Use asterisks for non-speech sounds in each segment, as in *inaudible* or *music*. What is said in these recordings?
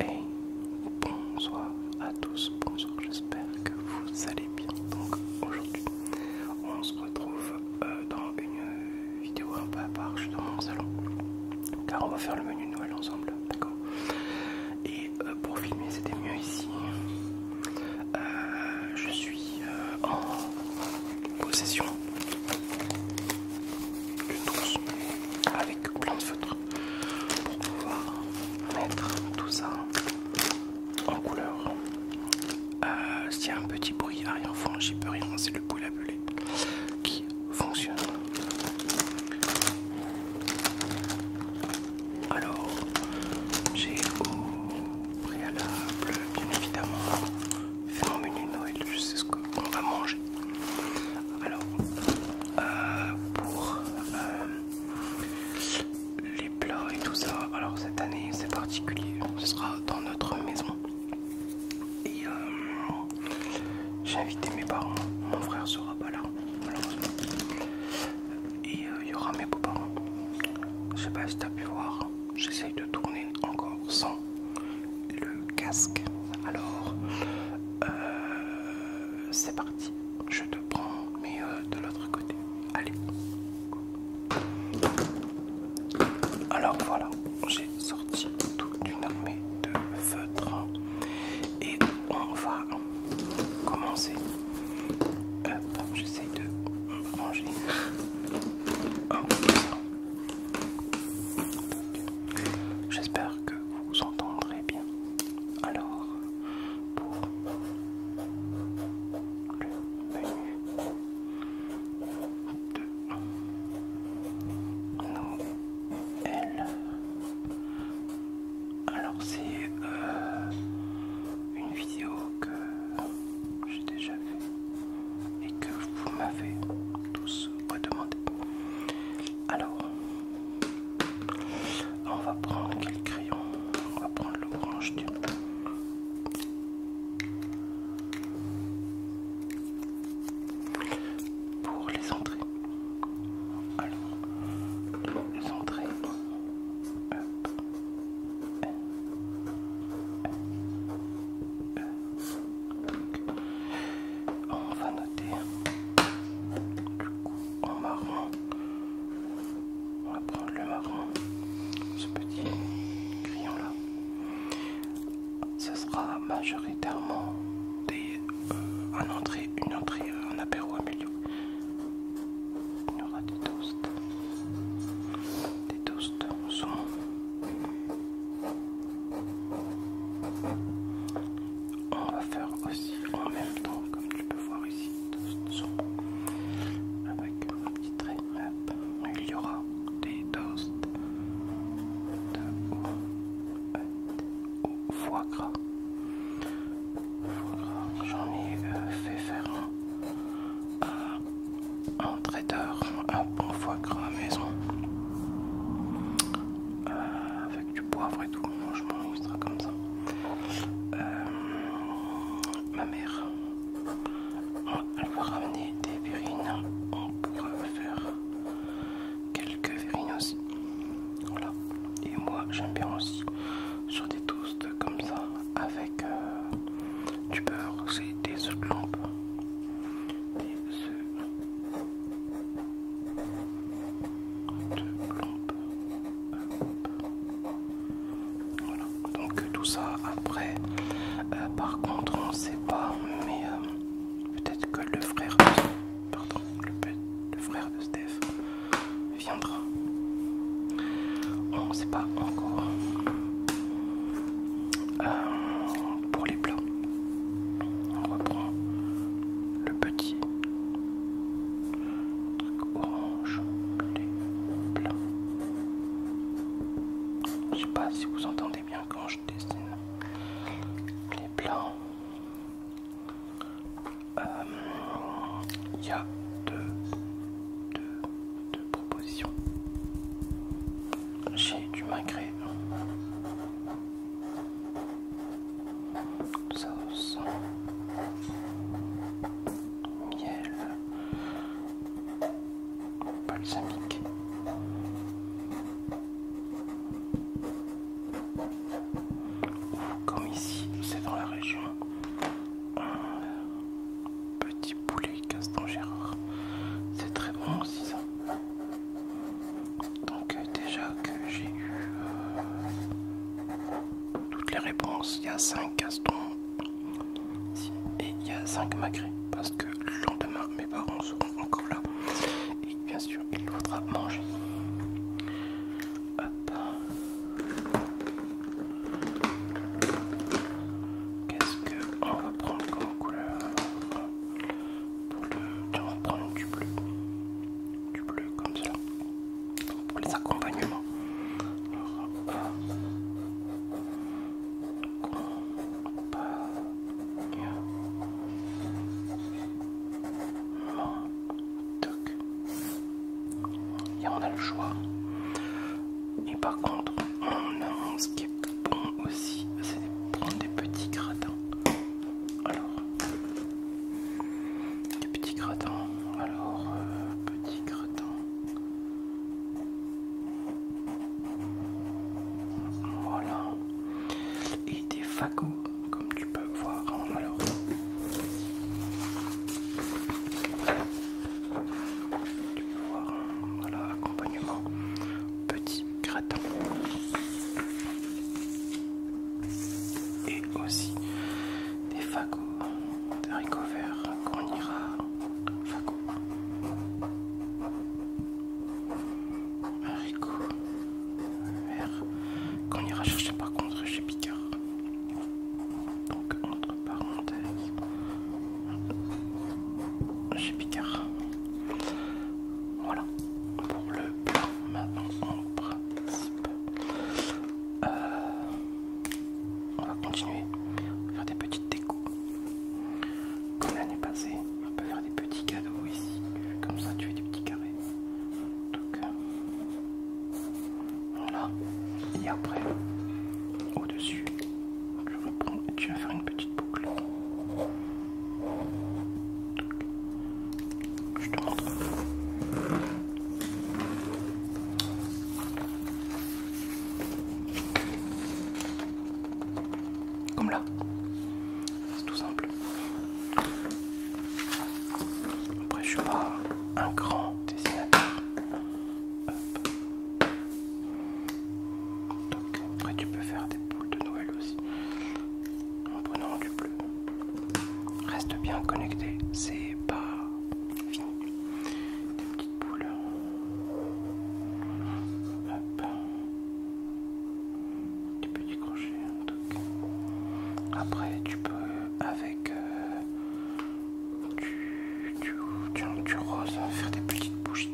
Hey, bonsoir à tous, bonsoir, j'espère que vous allez bien. Donc aujourd'hui, on se retrouve euh, dans une vidéo un peu à part, je suis dans mon salon, car on va faire le menu de Noël ensemble, d'accord Et euh, pour filmer, c'était mieux ici. Euh, je suis euh, en possession d'une trousse avec plein de feutres pour pouvoir mettre tout ça en couleur. Euh, s'il y a un petit bruit arrière-fond, j'y peux rien, c'est le poule à qui fonctionne. Alors, j'ai au préalable, bien évidemment, c'est mon menu Noël, je sais ce qu'on va manger. Alors, euh, pour euh, les plats et tout ça, alors cette année c'est particulier, ce sera dans notre maison. Et euh, j'ai invité mes parents, mon frère sera pas là, malheureusement et euh, il y aura mes beaux Je sais pas si t'as pu voir, j'essaye de tourner encore sans le casque. Alors, euh, c'est parti. Je te prends, mais euh, de l'autre côté. Allez. Alors voilà, j'ai sorti toute une armée de feutres et on va commencer J'essaie de ranger oh. J'espère que vous entendrez bien. Alors, pour le menu de Noël, alors c'est euh, une vidéo que j'ai déjà fait et que vous m'avez tous redemandé. Alors, on va prendre quel crayon On va prendre l'orange du. Pour les entrées. Alors, les entrées on va noter du coup en marron on va prendre le marron ce petit crayon là ce sera majoritairement euh, une entrée, un euh, apéro à milieu il y aura des toasts. Des toasts On va faire aussi en même temps, comme tu peux voir ici, Avec un petit trait. Il y aura des toasts de au foie gras. J'en ai euh, fait faire un un traiteur, un bon foie gras à maison. Euh, avec du poivre et tout, je m'en sera comme ça. Euh, ma mère, elle va ramener des verrines, on pourra faire quelques verrines aussi. Voilà. Et moi j'aime bien aussi sur des toasts comme ça avec euh, du beurre, c'est des œufs lampes, Des œufs de Voilà, donc tout ça après. Euh, par contre, on sait pas, mais euh, peut-être que le frère pardon, le frère de Steph viendra. On ne sait pas encore. Euh, pour les plats, on reprend le petit truc orange, les plats. Je sais pas si vous entendez bien quand je dessine les plats. Il euh, y a deux, deux, propositions. J'ai du magret. Sauce. Miel. Balsamique. Comme ici, c'est dans la région petit poulet caston Gérard. C'est très bon aussi ça. Donc euh, déjà que j'ai eu euh, toutes les réponses, il y a 5 castons et il y a 5 magrets parce que le lendemain mes parents seront encore là et bien sûr il faudra manger. Qu'est-ce qu'on oh, va prendre comme couleur pour le... Tiens, on prendre du bleu. Du bleu comme ça. Pour les accompagnements. Toc. Et on a le choix. Et par contre, on a ce qui est bon aussi, c'est de prendre des petits gratins. Alors, des petits gratins. Alors, euh, petits gratins. Voilà. Et des fagots comme tu peux voir hein, alors tu peux voir voilà, accompagnement petit gratin et aussi des fagots des verts qu'on ira fagots haricots qu'on ira chercher par contre chez Picard. Donc entre parenthèses, chez Picard. Voilà pour le plan maintenant en principe. Euh, on va continuer à faire des petites décos. Comme l'année passée, on peut faire des petits cadeaux ici, comme ça tu es des petits carrés. Euh, et après, au-dessus, tu et tu vas faire une petite boucle. je te montre. Comme là, c'est tout simple. Après, je suis pas un grand dessinateur. après, tu peux faire des boules de Noël aussi en prenant du bleu. Reste bien connecté, c'est pas fini. Des petites boules. Des petits crochets. Après, tu peux avec du, euh, rose faire des petites bougies.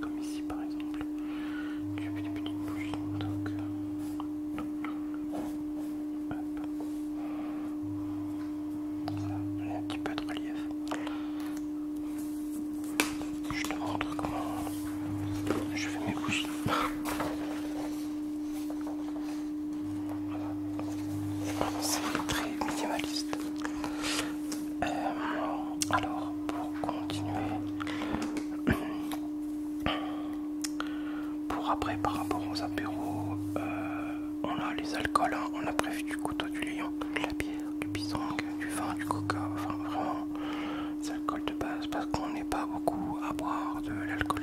Comme ici par exemple. Tu fais des petites bougies. Donc, voilà, euh, un petit peu de relief. Je te montre comment je fais mes bougies. C'est très minimaliste. Euh, alors, pour continuer, pour après, par rapport aux apéros, euh, on a les alcools. Hein. on a prévu du couteau, du lion, de la bière, du bison, du vin, du coca. Enfin, vraiment, c'est l'alcool de base parce qu'on n'est pas beaucoup à boire de l'alcool.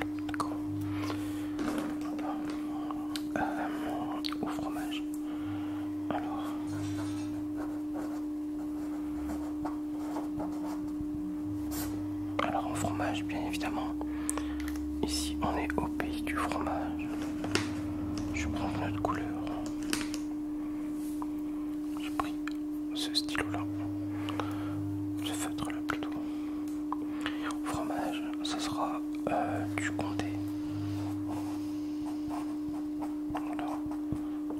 Euh, au fromage. Alors. Alors en fromage, bien évidemment. Ici, on est au pays du fromage. Je prends notre couleur. J'ai pris ce stylo là, ce feutre là plutôt. Fromage, ce sera euh, du comté.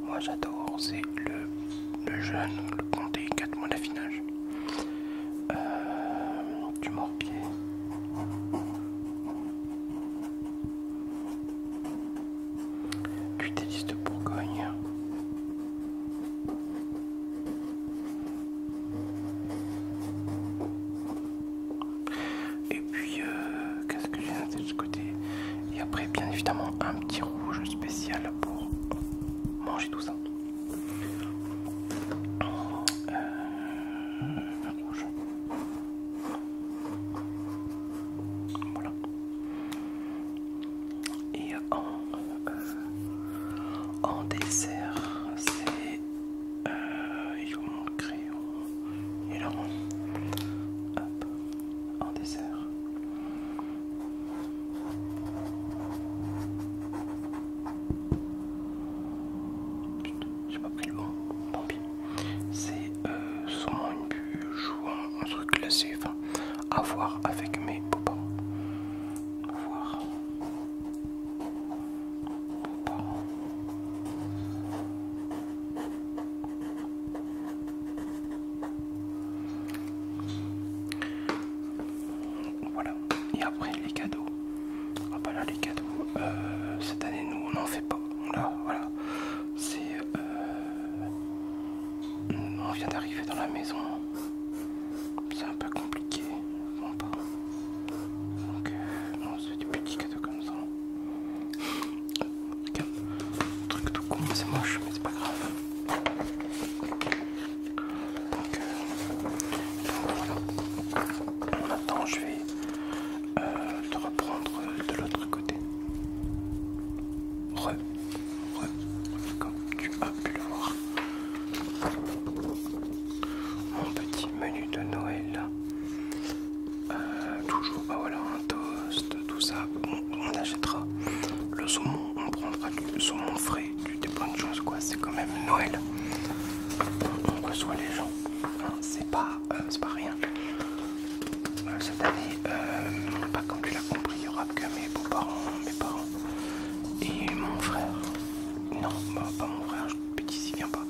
moi j'adore, c'est le, le jeune, le comté, 4 mois d'affinage. Euh, du morpier. Cutélis de Bourgogne. Et puis, euh, qu'est-ce que j'ai noté de ce côté Et après, bien évidemment, un petit rouge spécial pour manger tout ça. Euh, voilà. Et en, euh, en dessert, c'est euh, mon crayon et là Hop, en dessert. j'ai pas pris le bon, tant pis. C'est euh, sûrement une joue un truc classé, à voir avec mes beaux Voir. Voilà, et après les cadeaux. Ah bah là les cadeaux, euh, cette année nous on n'en fait pas. Là voilà, c'est euh, on vient d'arriver dans la maison. C'est un peu compliqué. Donc, euh, on se fait des petits cadeaux comme ça. Regarde, truc tout con, c'est moche, mais c'est pas grave. Donc, euh, On attend, je vais euh, te reprendre de l'autre côté comme tu as pu le voir. Mon petit menu de Noël. Euh, toujours, bah voilà, un toast, tout ça. On, achètera le saumon, on prendra du saumon frais, des bonnes choses, quoi. C'est quand même Noël. que soient les gens, hein, c'est pas, euh, pas rien cette année, euh, pas comme tu l'as compris, il n'y aura que mes beaux-parents, mes parents et mon frère. Non, bah, pas mon frère, petit ne vient pas.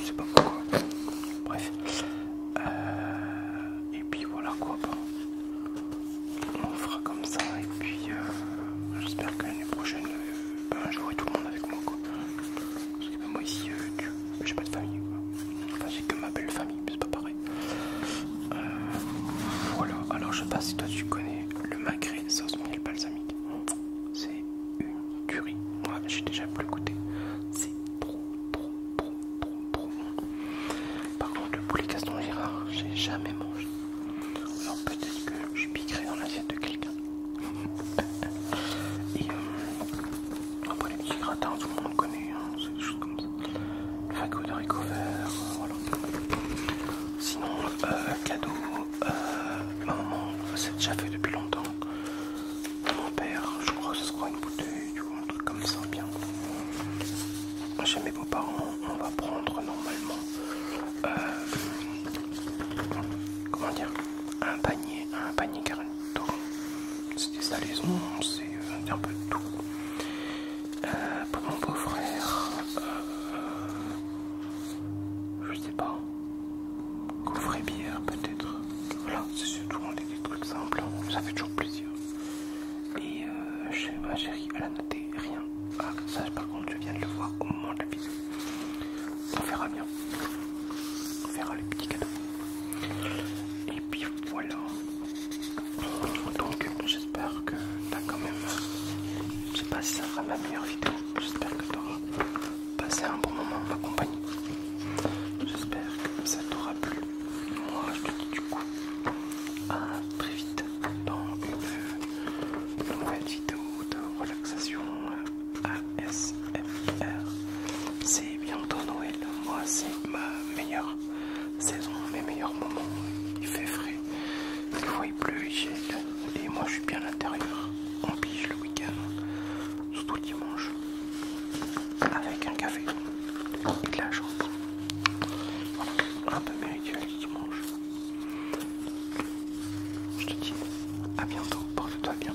Je sais pas pourquoi. Bref. Euh, et puis voilà quoi. Bah, on fera comme ça et puis euh, j'espère que l'année prochaine, ben, j'aurai tout le monde avec moi Parce que moi ici, tu j'ai pas de famille. Enfin, j'ai que ma belle famille, mais c'est pas pareil. Euh, voilà, alors je sais pas si toi tu connais le macré sauce miel balsamique. C'est une tuerie. Moi, j'ai déjà plus goûté. C'est trop, trop, trop, trop, Par contre, le poulet caston gérard j'ai jamais mangé. Alors peut-être que je piquerai dans l'assiette de quelqu'un. *laughs* Euh, après, les petits gratins, tout le monde connaît, hein, c'est des choses comme ça. Le fagot de Ricover, euh, voilà. Sinon, euh, cadeau, euh, maman, maman, c'est déjà fait depuis longtemps. Mon père, je crois, que ce sera une bouteille, tu vois, un truc comme ça, bien. Chez mes beaux-parents, on va prendre normalement, comment dire, un panier, un panier carré. C'est des salaisons, c'est euh, un peu tout. Euh, pour mon beau-frère, euh, je sais pas, coffret bière peut-être. Voilà, c'est surtout des trucs simples, hein. ça fait toujours plaisir. Et euh, chez ma chérie, elle a noté rien. Ah, ça par contre, je viens de le voir au moment de la vidéo. On verra bien. On verra les petits cadeaux. Et puis voilà. Donc j'espère que t'as quand même. Je sais pas si ça sera ma meilleure vidéo. J'espère que t'auras passé un bon moment en ma compagnie. J'espère que ça t'aura plu. Moi je te dis du coup à très vite dans une nouvelle vidéo de relaxation. S.M.R. C'est bientôt Noël, moi c'est ma meilleure saison, mes meilleurs moments. Il fait frais, il pleut, il et moi je suis bien à l'intérieur. On pige le week-end, surtout dimanche, avec un café et de la chambre. un peu mes rituels dimanche. Je te dis à bientôt, porte-toi bien